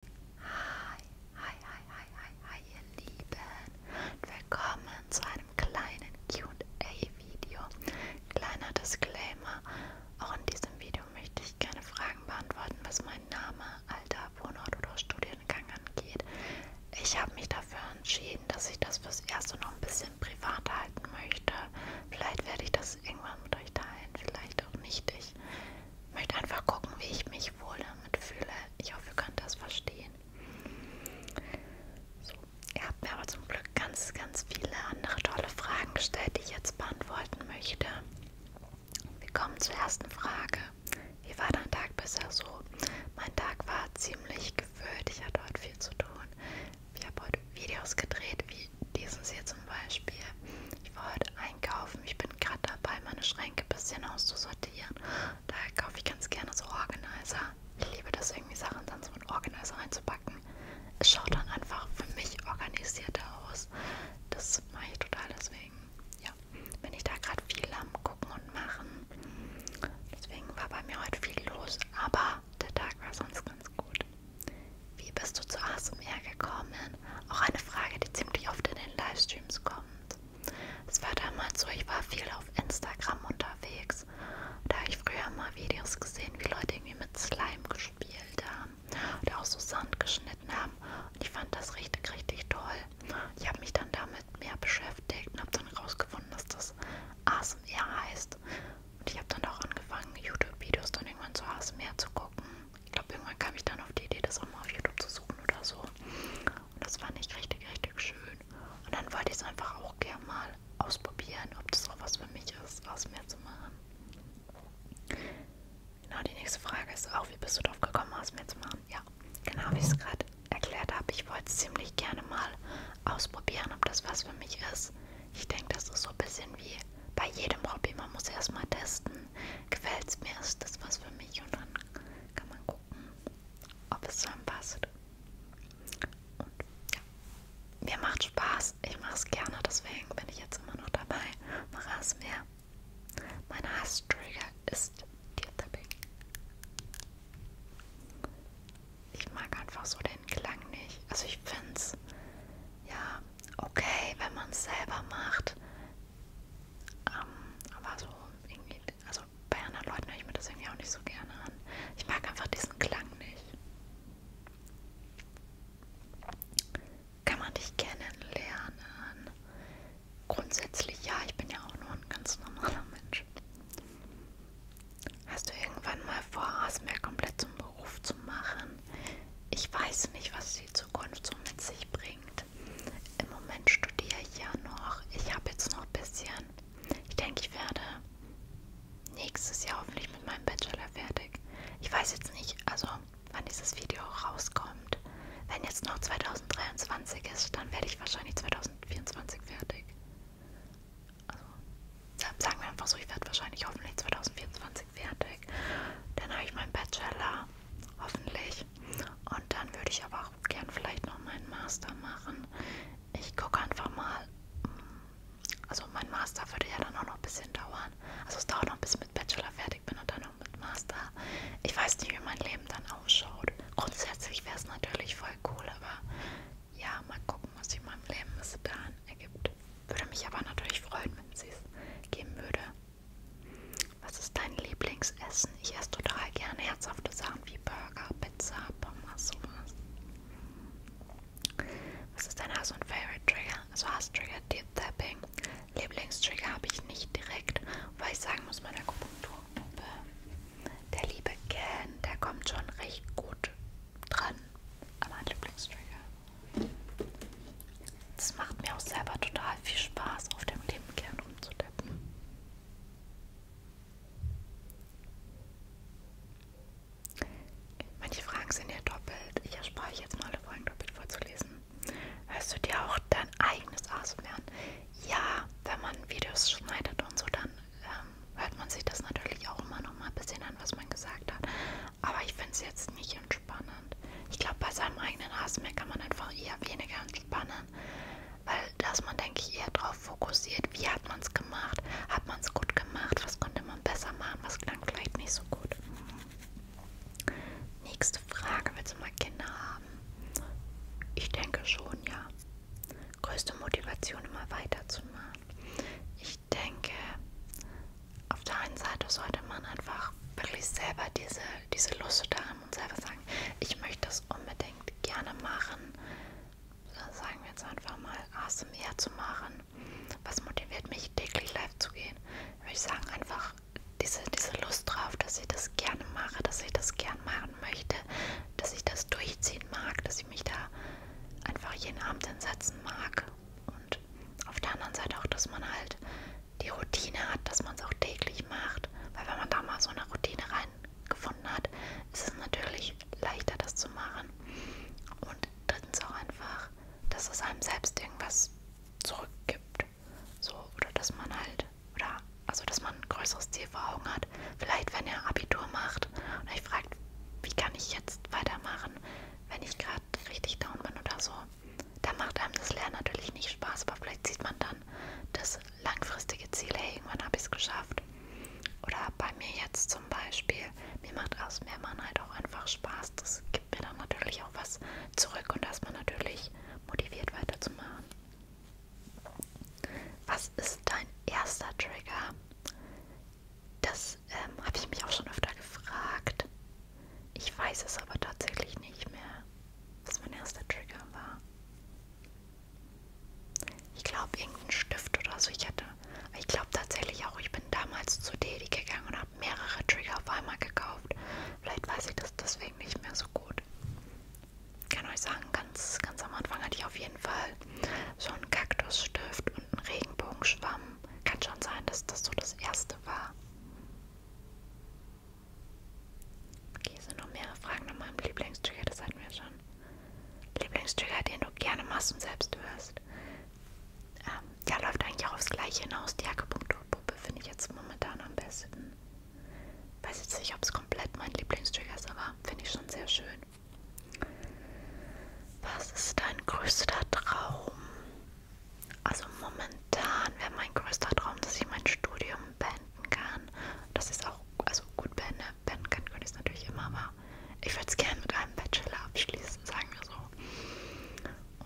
Hi, hi, hi, hi, hi, hi, ihr Lieben. Willkommen zu einem kleinen QA-Video. Kleiner Disclaimer: Auch in diesem Video möchte ich gerne Fragen beantworten, was mein Name, Alter, Wohnort oder Studiengang angeht. Ich habe mich dafür entschieden, dass ich das fürs Erste noch ein bisschen privat halten möchte. Vielleicht werde ich das irgendwann mit euch teilen, vielleicht auch nicht. Ich möchte einfach gucken, wie ich mich wohl damit fühle. Ich hoffe, ihr könnt das verstehen. So, ihr habt mir aber zum Glück ganz, ganz viele andere tolle Fragen gestellt, die ich jetzt beantworten möchte. Wir kommen zur ersten Frage. Wie war dein Tag bisher so? Mein Tag war ziemlich gefüllt. Ich hatte heute viel zu tun. Ich habe heute Videos gedreht, wie dieses hier zum zum Beispiel, ich war heute einkaufen, ich bin gerade dabei, meine Schränke ein bisschen auszusortieren. Da kaufe ich ganz gerne so Organizer. Ich liebe das irgendwie, Sachen dann so in Organizer einzupacken. Es schaut dann einfach für mich organisierter aus. Das mache ich total deswegen. Ja, bin ich da gerade viel am gucken und machen. Deswegen war bei mir heute viel los, aber der Tag war sonst ganz gut. Wie bist du zu ASMR gekommen? Jahren auch eine Frage, die ziemlich oft in den Livestreams kommt. Es war damals so, ich war viel auf Instagram unterwegs. Da habe ich früher mal Videos gesehen, wie Leute irgendwie mit Slime gespielt haben oder auch so Sand geschnitten haben. Und ich fand das richtig, richtig toll. Ich habe mich dann damit mehr beschäftigt und habe dann rausgefunden, dass das ASMR heißt. Und ich habe dann auch angefangen, YouTube-Videos dann irgendwann zu ASMR zu gucken. Ich glaube, irgendwann kam ich dann auf die Idee, das auch mal auf YouTube zu suchen oder so. Und das fand ich richtig, richtig schön. Und dann wollte ich es einfach auch gerne mal ausprobieren, ob das auch was für mich ist, was mehr zu machen. Genau, die nächste Frage ist auch, wie bist du drauf gekommen, was mehr zu machen? Ja, genau wie ich es gerade erklärt habe, ich wollte es ziemlich gerne mal ausprobieren, ob das was für mich ist. Ich denke, das ist so ein bisschen wie bei jedem Hobby, man muss erstmal testen gefällt es mir, ist das was für mich und dann kann man gucken, ob es dann passt. Und ja, mir macht Spaß, ich mache es gerne, deswegen bin ich jetzt immer noch dabei, mache es mehr. Mein Hasstrigger ist Tiertapping. Ich mag einfach so den Klang nicht. Also ich finde es, ja, okay, wenn man es selber macht. Ähm, aber so irgendwie, also bei anderen Leuten höre ich mir das irgendwie auch nicht so gerne an. Ich mag einfach diesen Klang nicht. Kann man dich kennenlernen? Grundsätzlich ja, ich bin ja auch nur ein ganz normaler Mensch. Hast du irgendwann mal vor, Haar's mehr komplett zum Beruf zu machen? Ich weiß nicht, was die Zukunft so mit sich bringt. Im Moment studiere ich ja noch. Ich habe jetzt noch ein bisschen. Ich denke, ich werde nächstes Jahr hoffentlich mit meinem Bachelor fertig. Ich weiß jetzt nicht, also wann dieses Video rauskommt. Wenn jetzt noch 2023 ist, dann werde ich wahrscheinlich 2024 fertig. Also sagen wir einfach so, ich werde wahrscheinlich hoffentlich 2024 fertig. Dann habe ich meinen Bachelor, hoffentlich. Und dann würde ich aber auch gern vielleicht noch meinen Master machen. Ich gucke einfach mal. Mm, also mein Master würde ja dann auch noch ein bisschen dauern. Also es dauert noch bis ich mit Bachelor fertig bin und dann noch mit Master. Ich weiß nicht, wie mein Leben dann ausschaut. Grundsätzlich wäre es natürlich voll cool, aber ja, mal gucken, was sich in meinem Leben bis dahin ergibt. Bescheid. Würde mich aber natürlich freuen, wenn sie es geben würde. Was ist dein Lieblingsessen? Ich esse total gerne herzhafte Sachen wie Burger, Pizza, Pommes, sowas. Was ist dein Hass- und Favorite-Trigger? Also Hass-Trigger, Deep-Tapping. Lieblingstrigger habe ich nicht direkt, weil ich sagen muss, meine Akupunkturgruppe, der liebe Ken, der kommt schon recht gut dran an mein Lieblingstrigger. Das macht mir auch selber total viel Spaß, auf dem lieben Kern rumzudeppen. Manche Fragen sind ja doppelt. Ich erspare ich jetzt mal, alle Fragen doppelt vorzulesen. Hörst du dir auch dein eigenes ASMR an? Ja, wenn man Videos schneidet und so, dann ähm, hört man sich das natürlich auch immer noch mal ein bisschen an, was man gesagt hat. Aber ich finde es jetzt nicht entspannend entspannend. Ich glaube, bei seinem eigenen ASMR kann man einfach eher weniger entspannen, weil dass man, denke ich, eher darauf fokussiert, wie hat man es gemacht, hat man es gut gemacht, was konnte man besser machen, was klang vielleicht nicht so gut. Nächste Frage, willst du mal Kinder haben? Ich denke schon, ja. Größte Motivation, immer weiterzumachen. Ich denke, auf der einen Seite sollte man einfach wirklich selber diese, diese Lust da haben und selber sagen, ich möchte das unbedingt gerne machen. Dann sagen wir jetzt einfach mal, ASMR zu machen. Was motiviert mich, täglich live zu gehen? Würde ich sagen, einfach diese, diese Lust drauf, dass ich das gerne mache, dass ich das gerne machen möchte, dass ich das durchziehen mag, dass ich mich da einfach jeden Abend hinsetzen mag und auf der anderen Seite auch, dass man halt die Routine hat, dass man es auch täglich macht. Weil wenn man da mal so eine Routine reingefunden hat, ist es natürlich leichter, das zu machen. Und drittens auch einfach, dass es einem selbst irgendwas zurückgibt. So, oder dass man halt, oder also dass man ein größeres Ziel vor Augen hat. Vielleicht, wenn ihr Abitur macht und euch fragt, wie kann ich jetzt weitermachen, wenn ich gerade gerade richtig down bin oder so, da macht einem das Lernen natürlich nicht Spaß, aber vielleicht sieht man dann das langfristige Ziel, hey, irgendwann habe ich es geschafft. Oder bei mir jetzt zum Beispiel, mir macht aus mehr Mann halt auch einfach Spaß. Das gibt mir dann natürlich auch was zurück und da ist man natürlich motiviert weiterzumachen. Was ist dein erster Trigger? Das ähm, habe ich mich auch schon öfter gefragt. Ich weiß es aber tatsächlich nicht mehr, was mein erster Trigger war. Ich glaube, irgendein Stift oder so. Ich hatte, ich glaube tatsächlich auch, ich bin damals zu Dedi gegangen und habe mehrere Trigger auf einmal gekauft. Vielleicht weiß ich das deswegen nicht mehr so gut. Ich kann euch sagen, ganz, ganz am Anfang hatte ich auf jeden Fall so einen Kaktusstift und ein Regenbogenschwamm. Kann schon sein, dass das so das erste war. Okay, sind noch mehrere Fragen nach meinem Lieblingstrigger, das hatten wir schon. Lieblingstrigger, den du gerne machst und selbst hörst. Ähm, ja, läuft eigentlich auch aufs Gleiche hinaus. Die Akupunkturpuppe finde ich jetzt momentan am besten. Weiß jetzt nicht, ob es komplett mein Lieblingstrigger ist, aber finde ich schon sehr schön. Was ist dein größter Traum? Also momentan wäre mein größter Traum, dass ich mein Studium beenden kann. Das ist auch, also gut beende, beenden kann, könnte ich es natürlich immer, aber ich würde es gerne mit einem Bachelor abschließen, sagen wir so.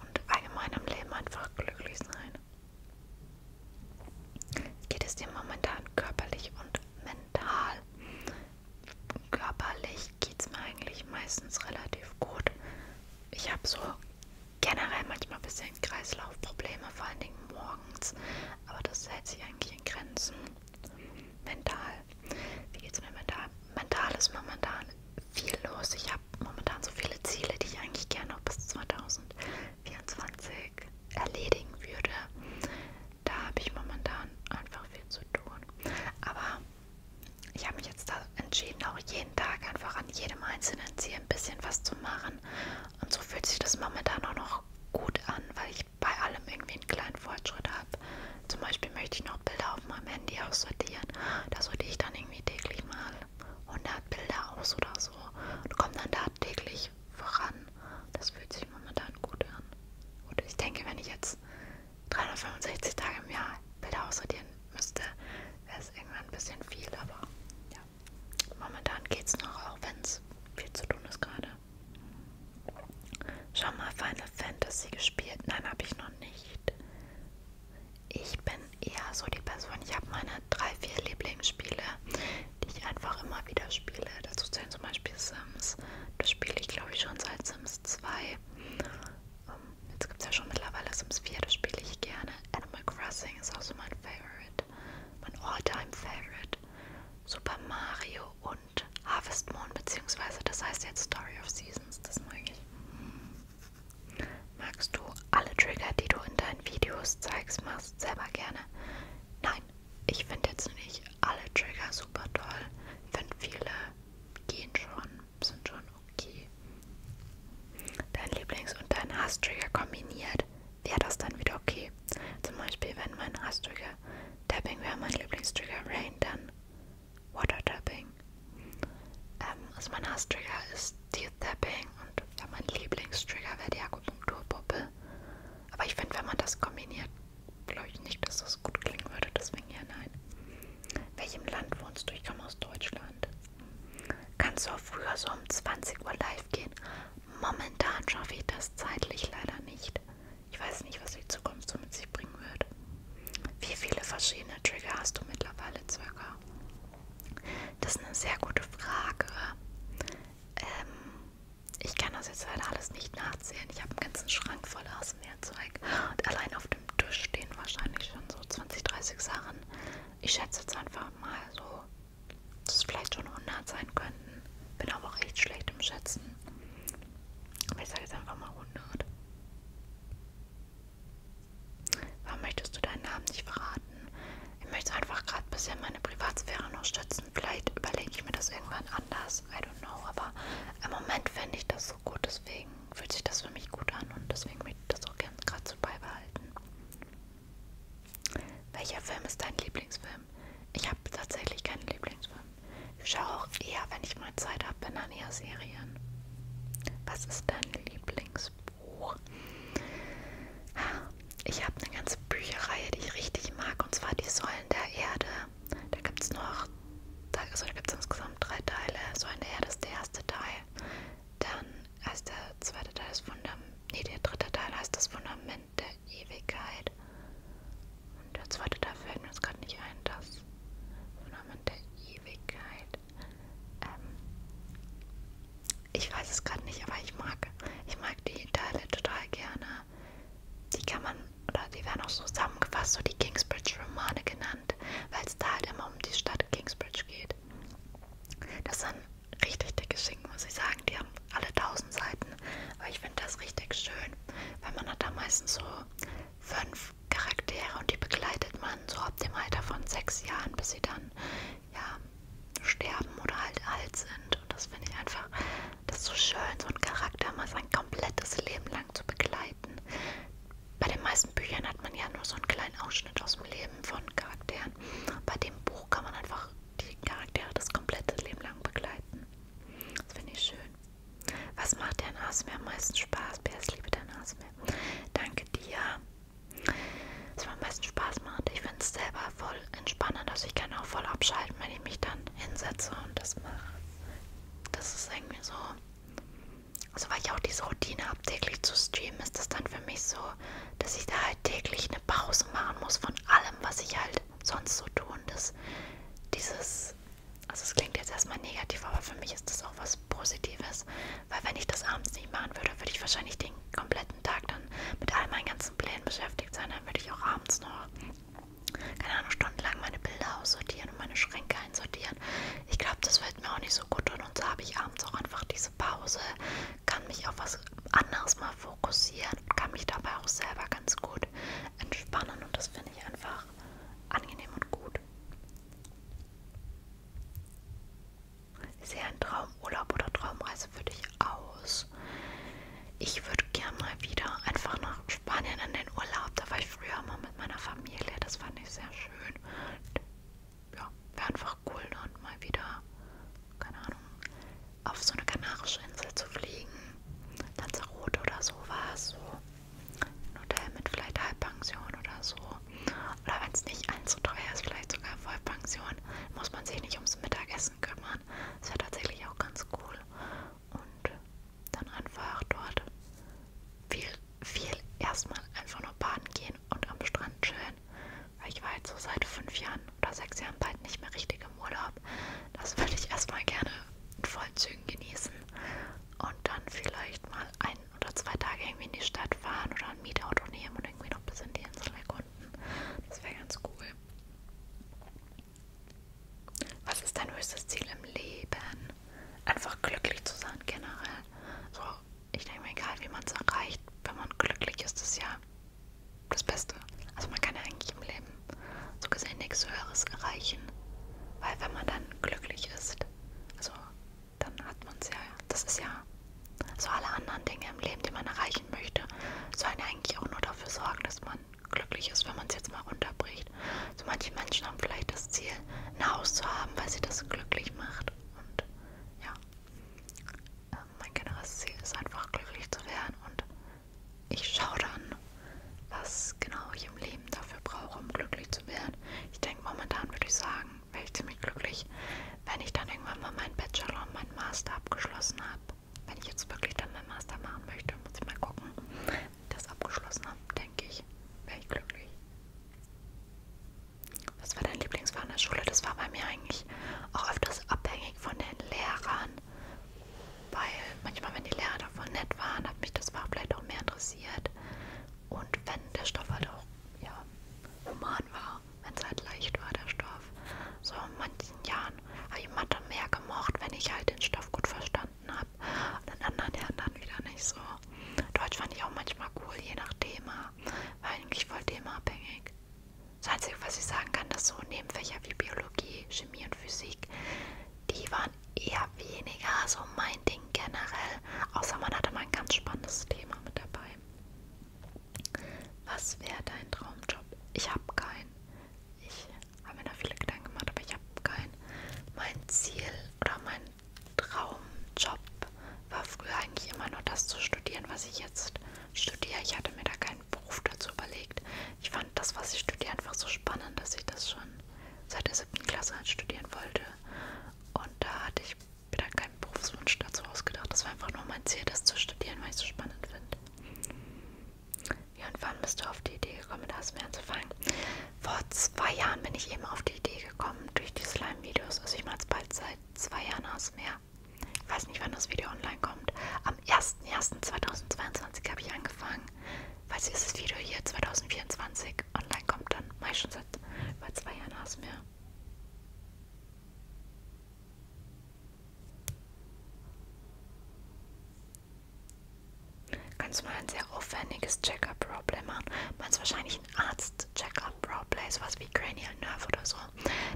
Und allgemein im Leben einfach glücklich sein. Geht es dir momentan körperlich und mental? körperlich geht es mir eigentlich meistens relativ gut. Ich habe so generell manchmal ein bisschen Kreislaufprobleme, vor allen Dingen morgens, aber das hält sich eigentlich in Grenzen. Mental. Wie geht es mir mental? Mental ist momentan viel los. Ich habe momentan so viele Ziele, die ich eigentlich gerne noch bis 2024 erledigen würde. Da habe ich momentan einfach viel zu tun. Aber ich habe mich jetzt da entschieden, auch jeden Tag einfach an jedem einzelnen Ziel ein bisschen was zu machen. Und so fühlt sich das momentan auch noch gut an, weil ich bei allem irgendwie einen kleinen Fortschritt habe. Zum Beispiel möchte ich noch Bilder auf meinem Handy aussortieren. Da sortiere ich dann irgendwie täglich mal 100 Bilder aus oder so und komme dann da täglich voran. Das fühlt sich momentan gut an. Und ich denke, wenn ich jetzt 365 Tage im Jahr Bilder aussortieren müsste, wäre es irgendwann ein bisschen viel, aber ja. Momentan geht's noch, auch wenn es viel zu tun ist gerade. Schon mal Final Fantasy gespielt? Nein, habe ich noch nicht. Ich bin eher so die Person, ich habe meine drei, vier Lieblingsspiele, die ich einfach immer wieder spiele. Dazu zählen zum Beispiel Sims. Das spiele ich, glaube ich, schon seit Sims 2 2. Um, ähm, jetzt gibt es ja schon mittlerweile Sims 4, das spiele ich gerne. Animal Crossing ist auch so mein Favorite, mein All-Time Favorite. Super Mario und Harvest Moon, beziehungsweise das heißt jetzt Story of Seasons, das mag ich. Magst du alle Trigger, die du in deinen Videos zeigst, machst selber gerne? Nein, ich finde jetzt nicht alle Trigger super toll. Ich finde viele gehen schon, sind schon okay. Dein Lieblings- und dein Hasstrigger kombiniert, wäre das dann wieder okay. Zum Beispiel, wenn mein Hasstrigger Tapping wäre, mein Lieblingstrigger Rain, dann Water Tapping. Ähm, also mein Hasstrigger ist Teeth Tapping und ja, mein Lieblingstrigger wäre die Akupunkturpuppe. Aber ich finde, wenn man das kombiniert, glaube ich nicht, dass das gut klingen würde, deswegen ja nein. Welchem Land wohnst du? Ich komme aus Deutschland. Kannst du auch früher so um 20 Uhr live gehen? Momentan schaffe ich das zeitlich leider nicht. Ich weiß nicht, was die Zukunft so mit sich bringen wird. Wie viele verschiedene Trigger hast du mittlerweile circa? Das ist eine sehr gute Frage. Ähm, ich kann das jetzt leider alles nicht nachzählen. Ich habe einen ganzen Schrank voller. Es ganzen Werkzeug. Und allein auf dem Tisch stehen wahrscheinlich schon so 20, 30 Sachen. Ich schätze jetzt einfach mal so, dass es vielleicht schon 100 sein könnten. Bin aber auch echt schlecht im Schätzen. Aber ich sage jetzt einfach mal 100. Warum möchtest du deinen Namen nicht verraten? Ich möchte einfach gerade bisher meine Privatsphäre noch schützen. Vielleicht überlege ich mir das irgendwann anders anders. I don't know. Aber im Moment finde ich das so gut, deswegen fühlt sich das für mich gut an und deswegen möchte ich das auch gerne gerade so beibehalten. Welcher Film ist dein Lieblingsfilm? Ich habe tatsächlich keinen Lieblingsfilm. Ich schaue auch eher, wenn ich mal Zeit habe, in eher Serien. Was ist dein Lieblingsbuch? Ich habe eine ganze Bücherreihe, die ich richtig mag, und zwar Die Säulen der Erde da gibt es noch, da, also da gibt es insgesamt drei Teile. So ein Herd ist der erste Teil. Dann heißt der zweite Teil das Fundament, nee, der dritte Teil heißt das Fundament der Ewigkeit. Und der zweite Teil fällt mir jetzt gerade nicht ein, das Fundament der Ewigkeit. Ähm, ich weiß es gerade nicht, aber ich mag, ich mag die Teile total gerne die kann man, oder die werden auch zusammengefasst so die Kingsbridge-Romane genannt, weil es da halt immer um die Stadt Kingsbridge geht. Das sind richtig dicke Schinken, muss ich sagen. Die haben alle 1000 Seiten, aber ich finde das richtig schön, weil man hat da meistens so fünf Charaktere und die begleitet man so ab dem Alter von sechs Jahren, bis sie dann ja sterben oder halt alt sind. Und das finde ich einfach das ist so schön, so einen Charakter mal sein komplettes Leben lang zu begleiten. Bei den meisten Büchern hat man ja nur so einen kleinen Ausschnitt aus dem Leben von Charakteren. Bei dem Buch kann man einfach die Charaktere das komplette Leben lang begleiten. Das finde ich schön. Was macht dein ASMR am meisten Spaß? PS liebe dein ASMR. Danke dir. Es war am meisten Spaß macht. Ich finde es selber voll entspannend. Also ich kann auch voll abschalten, wenn ich mich dann hinsetze und das mache. Das ist irgendwie so. Also weil ich auch diese Routine habe, täglich zu streamen, ist das dann für mich so, dass ich da halt täglich eine Pause machen muss von allem, was ich halt sonst so tue. Und das, dieses, also es klingt jetzt erstmal negativ, aber für mich ist das auch was Positives, weil wenn ich das abends nicht machen würde, würde ich wahrscheinlich den kompletten Tag dann mit all meinen ganzen Plänen beschäftigt sein, dann würde ich auch abends noch keine Ahnung, stundenlang meine Bilder aussortieren und meine Schränke einsortieren. Ich glaube, das wird mir auch nicht so gut tun. Und so habe ich abends auch einfach diese Pause, kann mich auf was anderes mal fokussieren und kann mich dabei auch selber ganz gut entspannen. Und das finde ich einfach angenehm und gut. Sehe ein Traumurlaub oder Traumreise für dich aus? ich würde gern mal wieder einfach nach Spanien in den Urlaub. Da war ich früher mal mit meiner Familie. Das fand ich sehr schön. Und ja, wäre einfach cool, dann mal wieder, keine Ahnung, auf so eine kanarische Insel zu fliegen. Lanzarote oder sowas. So ein Hotel mit vielleicht Halbpension oder so. Oder wenn es nicht allzu teuer ist, vielleicht sogar Vollpension, muss man sich nicht ums Mittagessen kümmern. Das wäre tatsächlich auch ganz cool und dann einfach dort viel, viel erstmal einfach nur baden gehen und am Strand chillen. Weil ich war jetzt so seit fünf Jahren oder sechs Jahren bald nicht mehr richtig im Urlaub. Das würde ich erstmal gerne in vollen Zügen genießen und dann vielleicht mal ein oder zwei Tage irgendwie in die Stadt fahren oder ein Mietauto nehmen und irgendwie noch bis in die Insel erkunden. Das wäre ganz cool. Was ist dein höchstes Ziel im Leben? Einfach glücklich zu sein, generell. So, ich denke mir, egal wie man es erreicht, wenn man glücklich ist, ist ja das Beste. Also man kann ja eigentlich im Leben so gesehen nichts Höheres erreichen. Weil wenn man dann glücklich ist, also dann hat man es ja, das ist ja so also alle anderen Dinge im Leben, die man erreichen möchte, sollen ja eigentlich auch nur dafür sorgen, dass man glücklich ist, wenn man es jetzt mal unterbricht. So also manche Menschen haben vielleicht das Ziel, ein Haus zu haben, weil sie das glücklich macht. Und ja, äh, mein generelles Ziel ist einfach glücklich zu werden. Und ich schaue dann, was genau ich im Leben dafür brauche, um glücklich zu werden. Ich denke, momentan würde ich sagen, wäre ich ziemlich glücklich, wenn ich dann irgendwann mal meinen Bachelor und meinen Master abgeschlossen habe wenn ich jetzt wirklich dann meinen Master machen möchte, muss ich mal gucken. Wenn ich das abgeschlossen habe, denke ich, wäre ich glücklich. Was war dein Lieblingsfach in der Schule? Das war bei mir eigentlich auch öfters abhängig von den Lehrern. Weil manchmal, wenn die Lehrer davon nett waren, hat mich das Fach vielleicht auch mehr interessiert. Und wenn der Stoff halt auch ja, human war, wenn es halt leicht war, der Stoff. So in manchen Jahren habe ich Mathe mehr gemocht, wenn ich halt den Stoff gut verstanden habe. Und den anderen ja dann wieder nicht so. Deutsch fand ich auch manchmal cool, je nach Thema. War eigentlich voll themaabhängig. Das Einzige, was ich sagen kann, dass so Nebenfächer wie Biologie, Chemie und Physik, die waren eher weniger so mein Ding generell. Außer man hatte mal ein ganz spannendes Thema mit dabei. Was wäre dein Traumjob? Ich habe keinen. Ich habe mir da viele Gedanken gemacht, aber ich habe keinen. Mein Ziel oder mein Traumjob war früher eigentlich immer nur das zu studieren, was ich jetzt studiere. Ich hatte mir da keinen Beruf dazu überlegt. Ich fand das, was ich studiere, einfach so spannend, dass ich das schon seit der siebten Klasse halt studieren wollte. Und da hatte ich mir dann keinen Berufswunsch dazu ausgedacht. Das war einfach nur mein Ziel, das zu studieren, weil ich es so spannend finde. Ja, und wann bist du auf die Idee gekommen, das mir anzufangen? Vor zwei Jahren bin ich eben auf die Idee gekommen durch die Slime-Videos. Also ich mache es bald seit zwei Jahren aus mehr. Ich weiß nicht, wann das Video online kommt. Am 1.1.2022 habe ich angefangen. Falls dieses Video hier 2024 online kommt, dann mache ich schon seit über zwei Jahren aus mehr. Kannst du mal ein sehr aufwendiges Check-up Roleplay machen? Meinst wahrscheinlich ein Arzt-Check-up Roleplay, sowas wie Cranial Nerve oder so.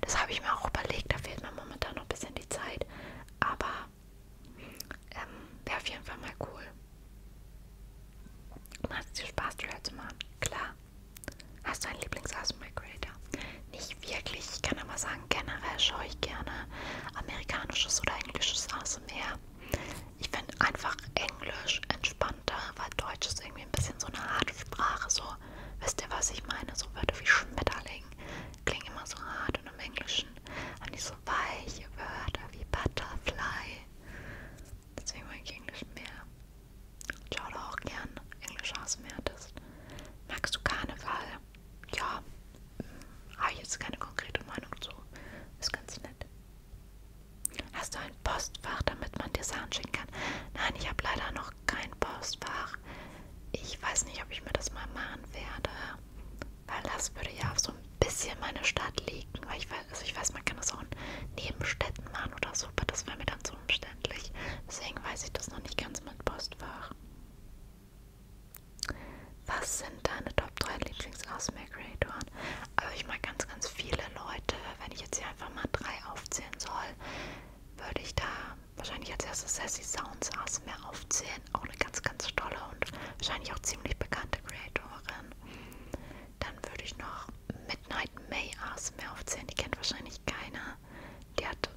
Das habe ich mir auch überlegt, da fehlt mir momentan noch ein bisschen die Zeit. Aber ähm, wäre auf jeden Fall mal cool. Macht es dir Spaß, Trailer zu machen? Klar. Hast du einen Lieblings-Asthma-Creator? ja, nicht wirklich. Ich kann aber sagen, generell schaue ich gerne amerikanisches oder englisches ASMR. Ich finde einfach Englisch entspannter, weil Deutsch ist irgendwie ein bisschen so eine harte Sprache. So, wisst ihr, was ich meine? So Wörter wie Schmetterling klingen immer so hart und im Englischen haben die so weiche Wörter wie Butterfly. Deswegen mag ich Englisch mehr. Ich schaue da auch gern Englisch ASMR-Test. Magst du Karneval? ja, hm, habe ich jetzt keine konkrete Meinung zu. Ist ganz nett. Hast du ein Postfach, damit man dir Sachen schicken kann? Nein, ich habe leider noch kein Postfach. Ich weiß nicht, ob ich mir das mal machen werde, weil das würde ja auch so ein bisschen meine Stadt liegen. Weil ich weiß, also ich weiß, man kann das auch in Nebenstädten machen oder so, aber das wäre mir dann zu umständlich. Deswegen weiß ich das noch nicht ganz mit Postfach. Was sind deine Top 3 Lieblings aus Creatoren? Also ich mag ganz, ganz viele Leute. Wenn ich jetzt hier einfach mal drei aufzählen soll, würde ich da wahrscheinlich als erstes Sassy Sounds ASMR aufzählen. Auch eine ganz, ganz tolle und wahrscheinlich auch ziemlich bekannte Creatorin. Dann würde ich noch Midnight May ASMR aufzählen. Die kennt wahrscheinlich keiner. Die hat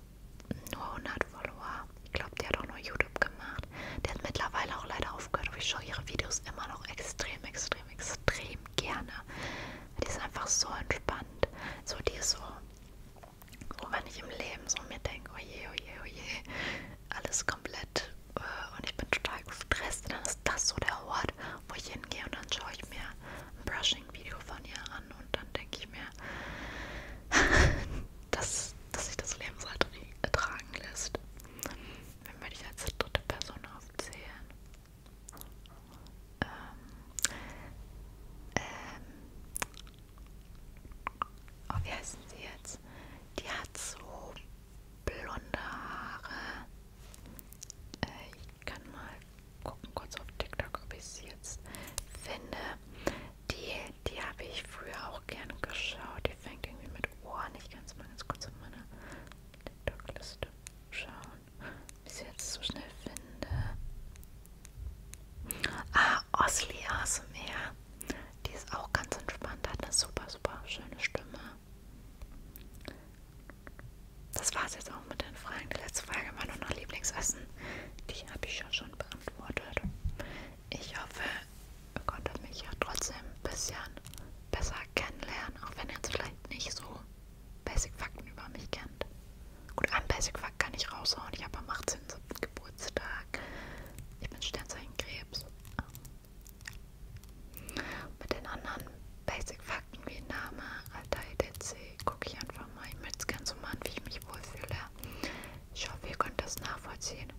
nur 100 Follower. Ich glaube, die hat auch nur YouTube gemacht. Der hat mittlerweile auch leider aufgehört, aber ich schaue ihre Videos immer noch extrem, extrem, extrem gerne. Die ist einfach so entspannt. So, die ist so, so wenn ich im Leben so mir denke, oje, oh oje, oh oje, oh alles komplett äh, und ich bin total gestresst, dann ist das so der Ort, wo ich hingehe und dann schaue ich mir ein Brushing ein Video von ihr an und dann denke ich mir, dass, dass sich das Leben so ertragen lässt. Wenn wir dich als dritte Person aufzählen. Ähm, ähm, oh, wie heißen sie jetzt? Die hat so blonde Haare. Äh, ich kann mal gucken kurz auf TikTok, ob ich sie jetzt finde. Die, die habe ich früher auch gerne geschaut. Die fängt irgendwie mit Ohren. Ich kann es mal ganz kurz auf meine TikTok-Liste schauen, ob ich sie jetzt so schnell finde. Ah, Osli ASMR. Die ist auch ganz entspannt, hat eine super, super schöne Stimme das war es jetzt auch mit den Fragen. Die letzte Frage war nur noch Lieblingsessen. Die habe ich ja schon beantwortet. Ich hoffe, ihr konntet mich ja trotzdem ein bisschen besser kennenlernen, auch wenn ihr jetzt vielleicht nicht so Basic-Fakten über mich kennt. Gut, einen Basic-Fakt kann ich raushauen. Ich habe am 18. Geburtstag. Ich bin Sternzeichen Krebs. Ähm, mit den anderen Basic-Fakten wie Name, Alter, etc gucke ich einfach mal. Ich möchte es gerne so machen, wie ich mich wohlfühle. Ich hoffe, ihr könnt das nachvollziehen.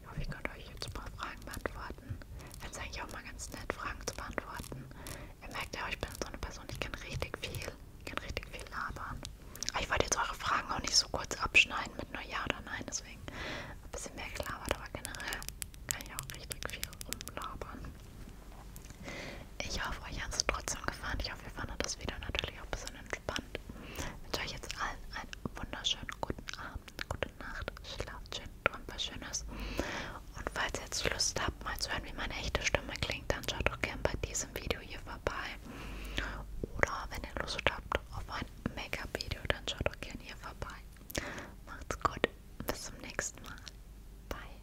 Ich hoffe, ich könnt euch jetzt ein paar Fragen beantworten. Es ist eigentlich auch mal ganz nett, Fragen zu beantworten. Ihr merkt ja, ich bin so eine Person, ich kann richtig viel, ich kann richtig viel labern. Aber ich wollte jetzt eure Fragen auch nicht so kurz abschneiden mit nur Ja oder Nein, deswegen ein bisschen mehr gelabert, aber generell kann ich auch richtig viel rumlabern. Ich hoffe, euch hat es trotzdem gefallen. Ich hoffe, ihr fandet das Video natürlich auch ein bisschen entspannt. Ich wünsche euch jetzt allen einen wunderschönen guten Abend, gute Nacht. Schlaft schön, träumt was Schönes. Und falls ihr jetzt Lust habt, mal zu hören, wie meine echte Stimme klingt, dann schaut doch gerne bei diesem Video hier vorbei. Oder wenn ihr Lust habt auf ein Make-up-Video, dann schaut doch gerne hier vorbei. Macht's gut. Bis zum nächsten Mal. Bye.